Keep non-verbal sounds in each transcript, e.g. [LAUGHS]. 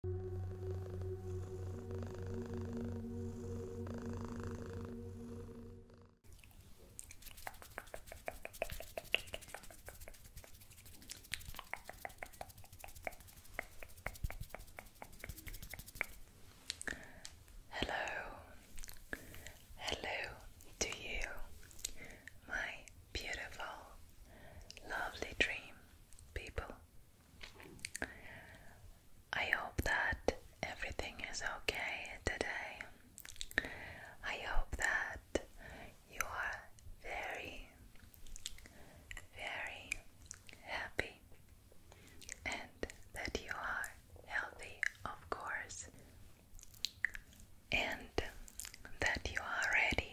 Hello, hello to you, my beautiful, lovely dream people. I hope that everything is okay today. I hope that you are very, very happy and that you are healthy, of course, and that you are ready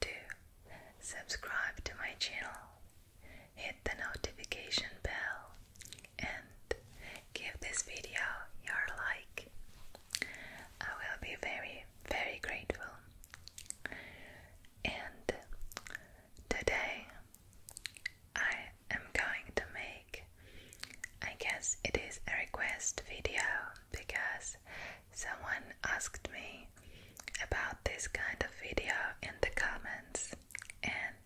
to subscribe to my channel, hit the notification bell, and give this video your like. I will be very, very grateful. And today I am going to make, I guess it is a request video because someone asked me about this kind of video in the comments, and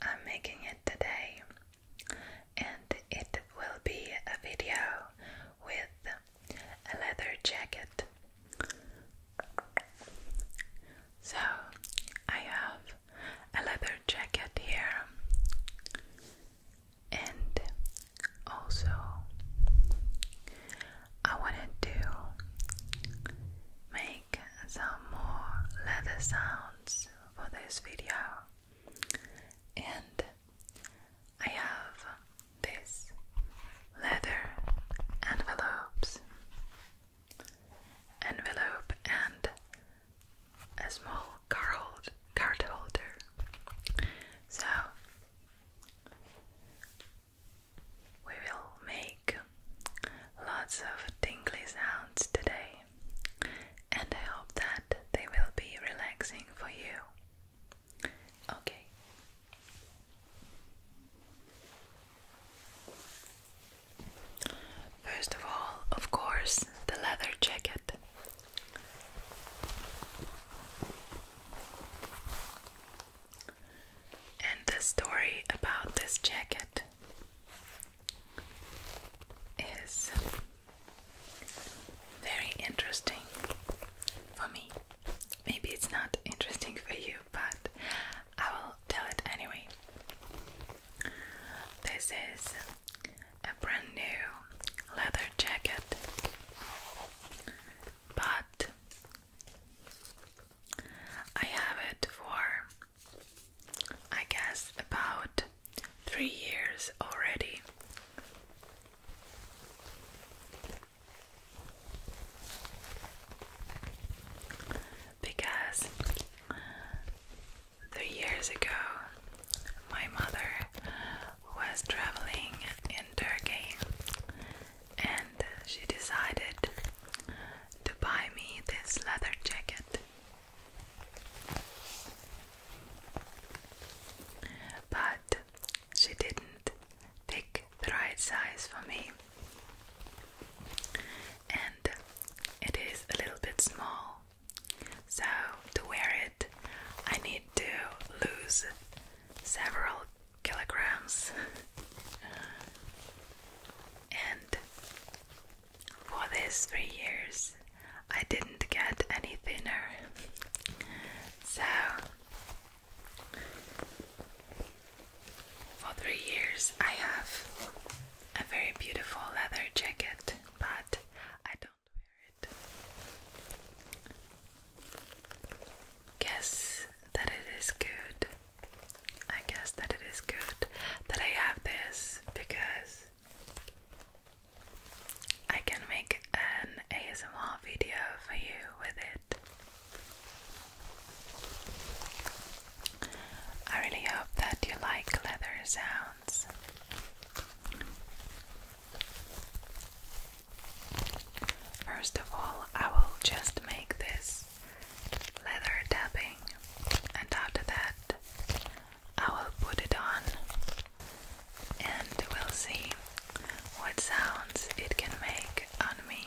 I'm making it today. And it will be a video with a leather jacket. So, I have a leather jacket here and also I wanted to make some more leather sounds for this video and I have this leather envelopes envelope and a small card card holder. So we will make lots of tingly sounds today, and I hope that they will be relaxing for you. Okay. First of all, of course, the leather jacket. And the story about this jacket is very interesting for me. Maybe it's not interesting for you, but I will tell it anyway. This is a brand new leather jacket, but I have it for I guess about three years already. Because three years ago my mother was traveling in Turkey and she decided to buy me this leather jacket. But she didn't pick the right size for me, and it is a little bit small so, to wear it, I need to lose several kilograms. [LAUGHS] and for these three years, I didn't get any thinner. So, for three years, I have a very beautiful leather jacket, but I don't. Guess that it is good. I guess that it is good that I have this because I can make an ASMR video for you with it. I really hope that you like leather sounds. First of all, I will just make this leather tapping, and after that, I will put it on and we'll see what sounds it can make on me.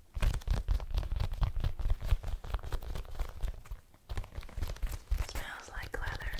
It smells like leather.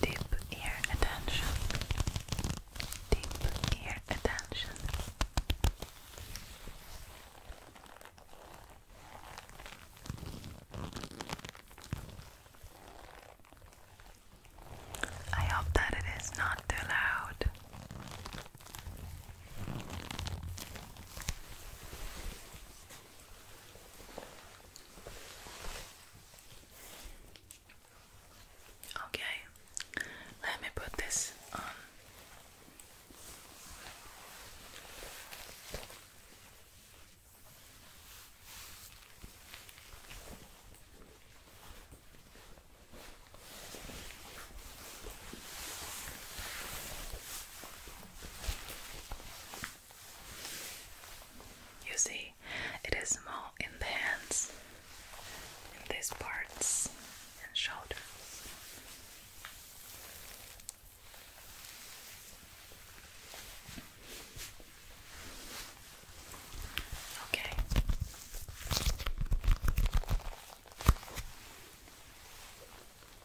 Deep ear attention. Deep ear attention. I hope that it is not too loud. Okay, let me put this on. You see, it is small in the hands, in these parts and shoulders. Okay.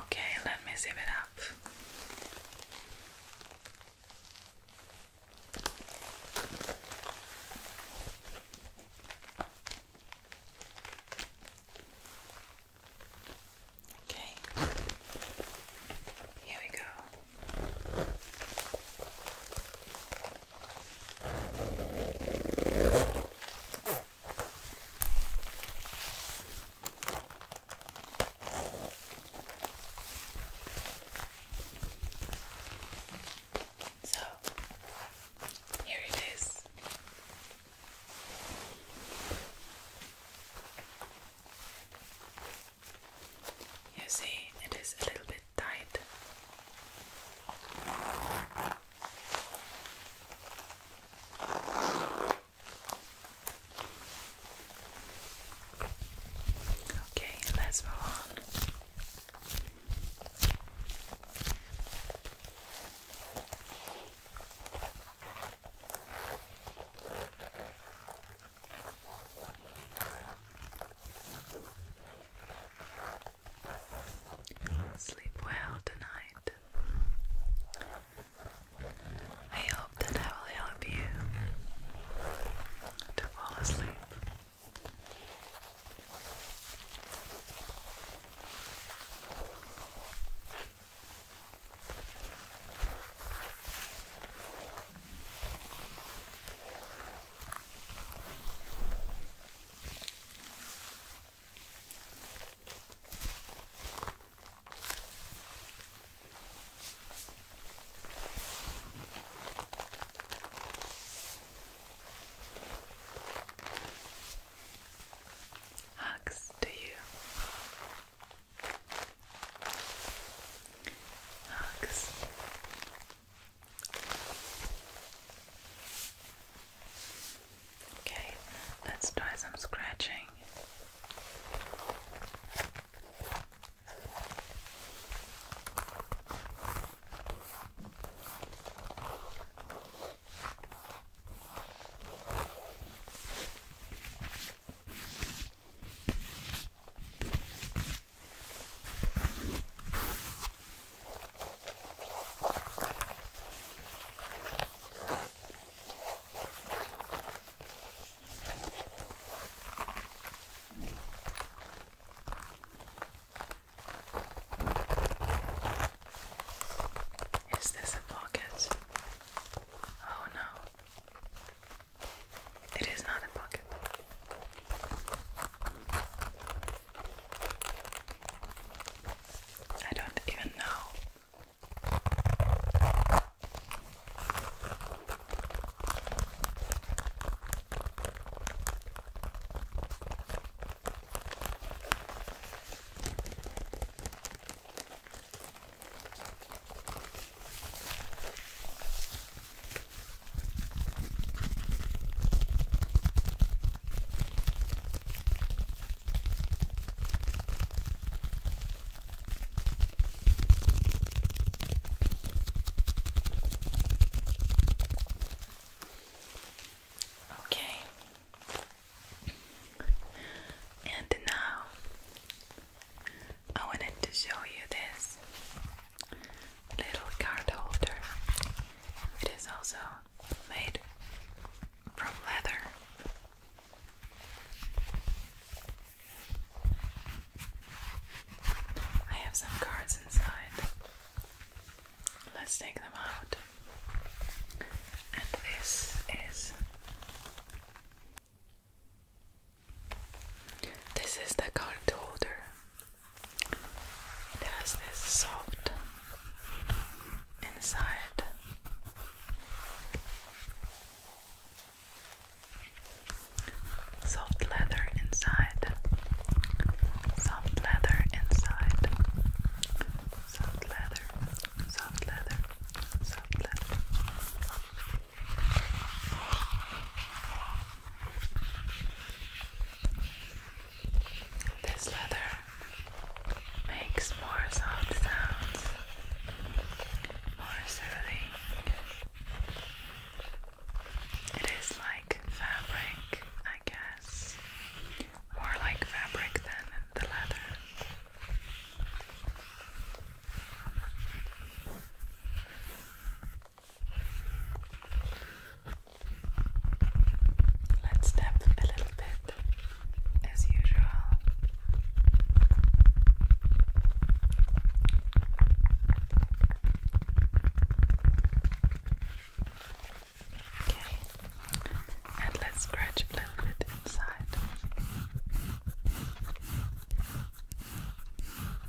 Okay, let me zip it up. Okay, here we go. So here it is. You see, it is a little bit tight. Okay, let's move on. Sleep well tonight. I hope that I will help you to fall asleep. Hugs to you. Hugs. Okay, let's try some scratching. Is this a pocket? Oh no. It is not a pocket. I don't even know. Okay, and now I wanted to show you this little card holder. It is also made from leather. I have some cards inside. Let's take them out. And this is this is the card holder. It has this soft inside. Soft leather inside. Soft leather inside. Soft leather. Soft leather. Soft leather. This leather makes more soft sounds, more soothing. It is like fabric, I guess. More like fabric than the leather. Let's step a little bit as usual. Okay, and let's scratch a little bit inside.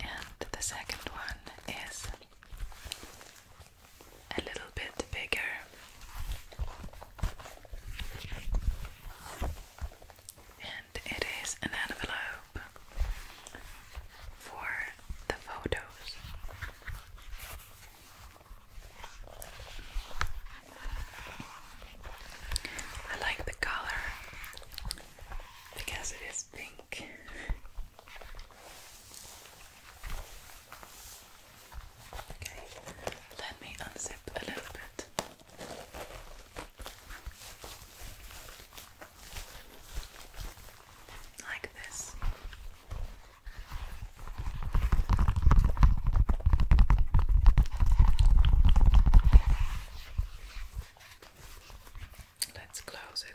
and the second one is a little bit bigger. And it is an envelope for the photos. I like the color because it is pink. Okay, let me unzip a little bit. Like this. Let's close it.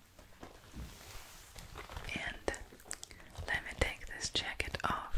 and let me take this jacket off.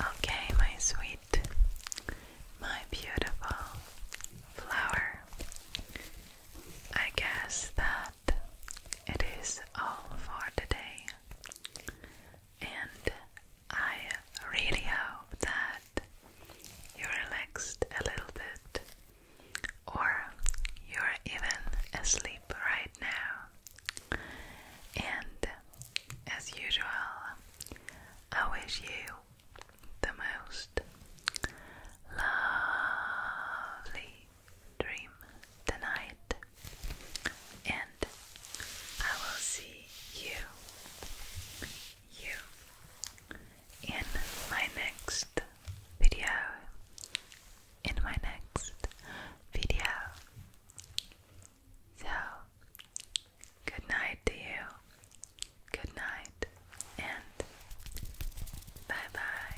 Okay, my sweetie, my beautiful flower. I guess that it is all for today, and I really hope that you relaxed a little bit, or you're even asleep right now. And as usual, I wish you the most lovely dream tonight, and I will see you, you, in my next video. In my next video. So, good night to you. Good night and bye bye.